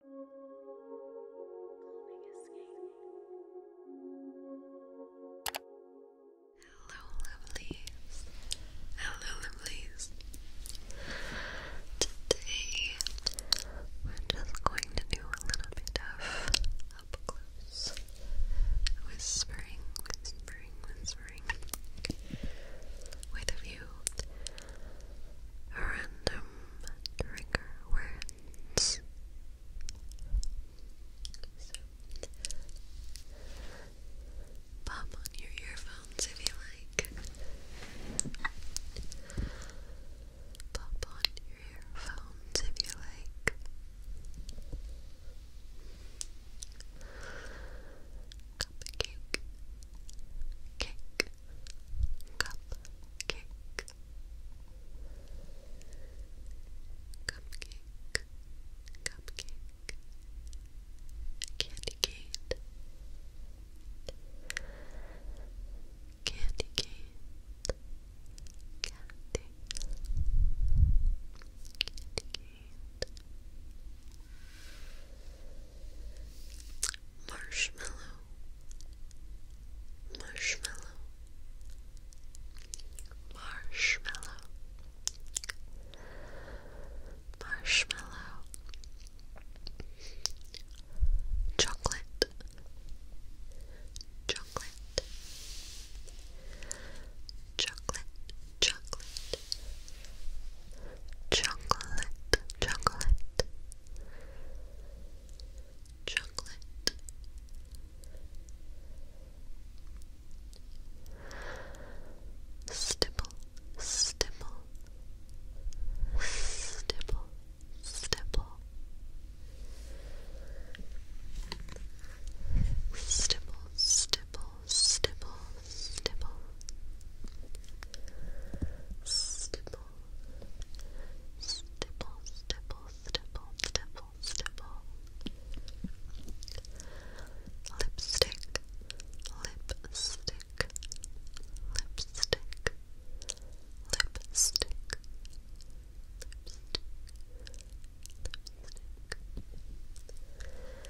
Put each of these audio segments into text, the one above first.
Calming escape. Hello, lovelies. Hello, lovelies. Today, we're just going to do a little bit of up close whispering, whispering, whispering with a few random trigger words. pop on your earphones if you like. Pop on your earphones if you like. Cupcake, cake, Cupcake. Cupcake. Cupcake. Candy cane. Candy cane. Candy. Candy cane marshmallow, marshmallow, marshmallow, marshmallow, chocolate, chocolate, chocolate, chocolate chocolate, chocolate, chocolate. Stipple, stipple, stipple, stipple, stipple, stipple, stipple, stipple, stipple, stipple, stipple, stipple, stipple, stipple, lipstick, lipstick, lipstick, lipstick. Lipstick, lipstick,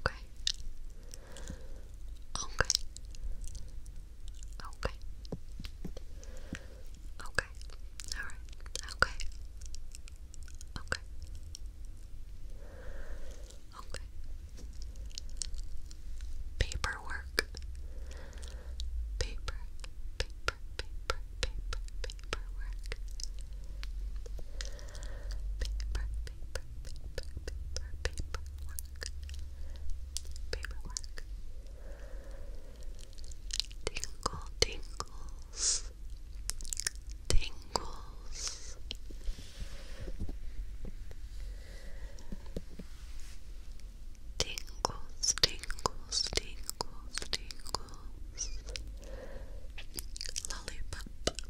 Okay. Okay. Okay. Okay. Alright. Okay. Okay. Okay. Paperwork. Paper. Paper. Paper. Paper. Paperwork paper, paper, paper, paper, paperwork, paperwork. Tingle, tingles, tingles. Tingles, tingles, tingles, tingles. Lollipop,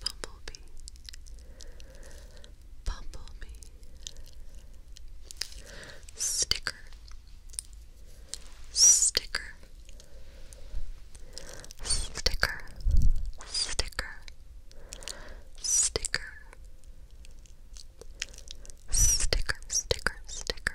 bumblebee, bumblebee, sticker, sticker, sticker, sticker, sticker. Sticker, sticker, sticker,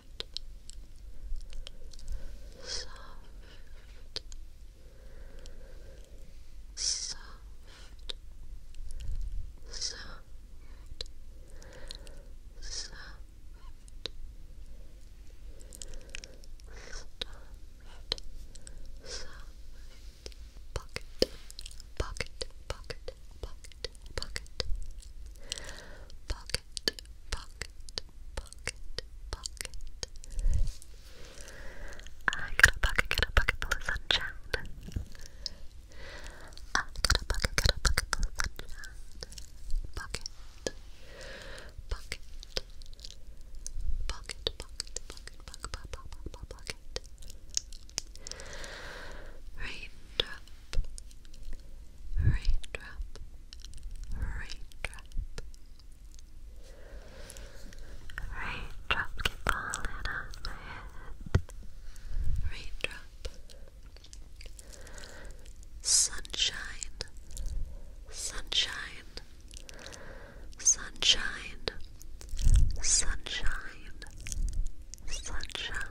soft, soft, soft, soft. Soft, soft, pocket, pocket, pocket, pocket, pocket, pocket, pocket, pocket, pocket, I got a pocket, got a pocket full of sunshine. I got a pocket, got a pocket full of sunshine. Pocket, pocket, pocket, pocket, pocket, pocket, pocket, pocket. Raindrop raindrop, raindrop. Raindrop keep falling on my head. Raindrop. Sunshine, sunshine, sunshine, sunshine, sunshine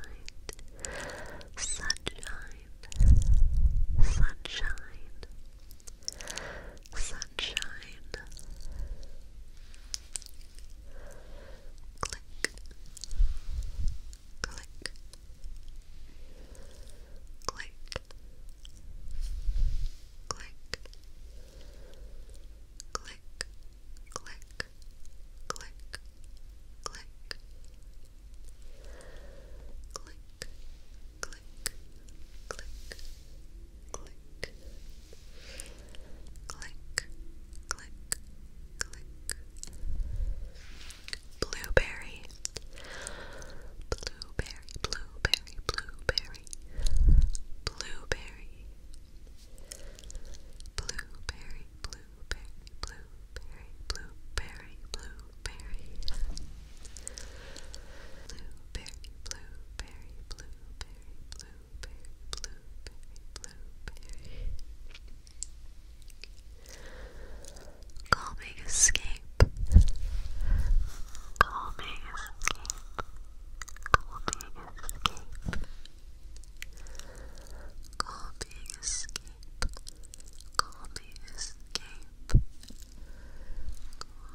sunshine, sunshine, sunshine. Click, click, click, click. Click, click, click, click, click, click, click, click, click, click, click. Blueberry, blueberry, blueberry, blueberry, blueberry, blueberry, blueberry, blueberry, blueberry, blueberry, blueberry. Blueberry, blueberry, blueberry, blueberry, blueberry, blueberry. Calming escape. Calming escape. Calming escape. Call me escape. Call me escape. Call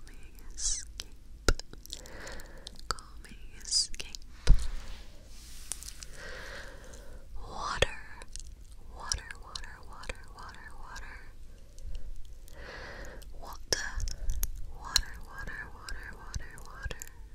me escape. Call me escape. Water. Water, water, water, water, water. Water. Water, water, water, water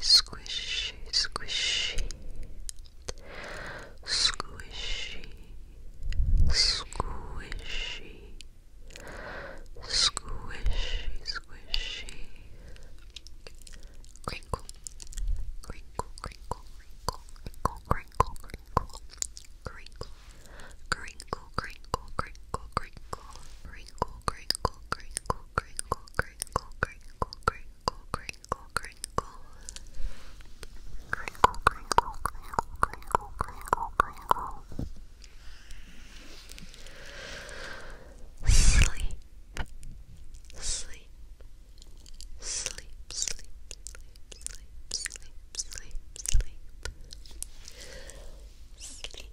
squishy, squishy, squishy, squishy, squishy, squishy, crinkle, crinkle, crinkle, crinkle, crinkle, crinkle, crinkle, crinkle, crinkle, crinkle, crinkle, crinkle, crinkle, crinkle, crinkle, crinkle, crinkle, crinkle, crinkle, crinkle, crinkle, crinkle. Crinkle, crinkle, crinkle, crinkle, crinkle, crinkle. Sleep, sleep, sleep, sleep, sleep, sleep, sleep, sleep, sleep, sleep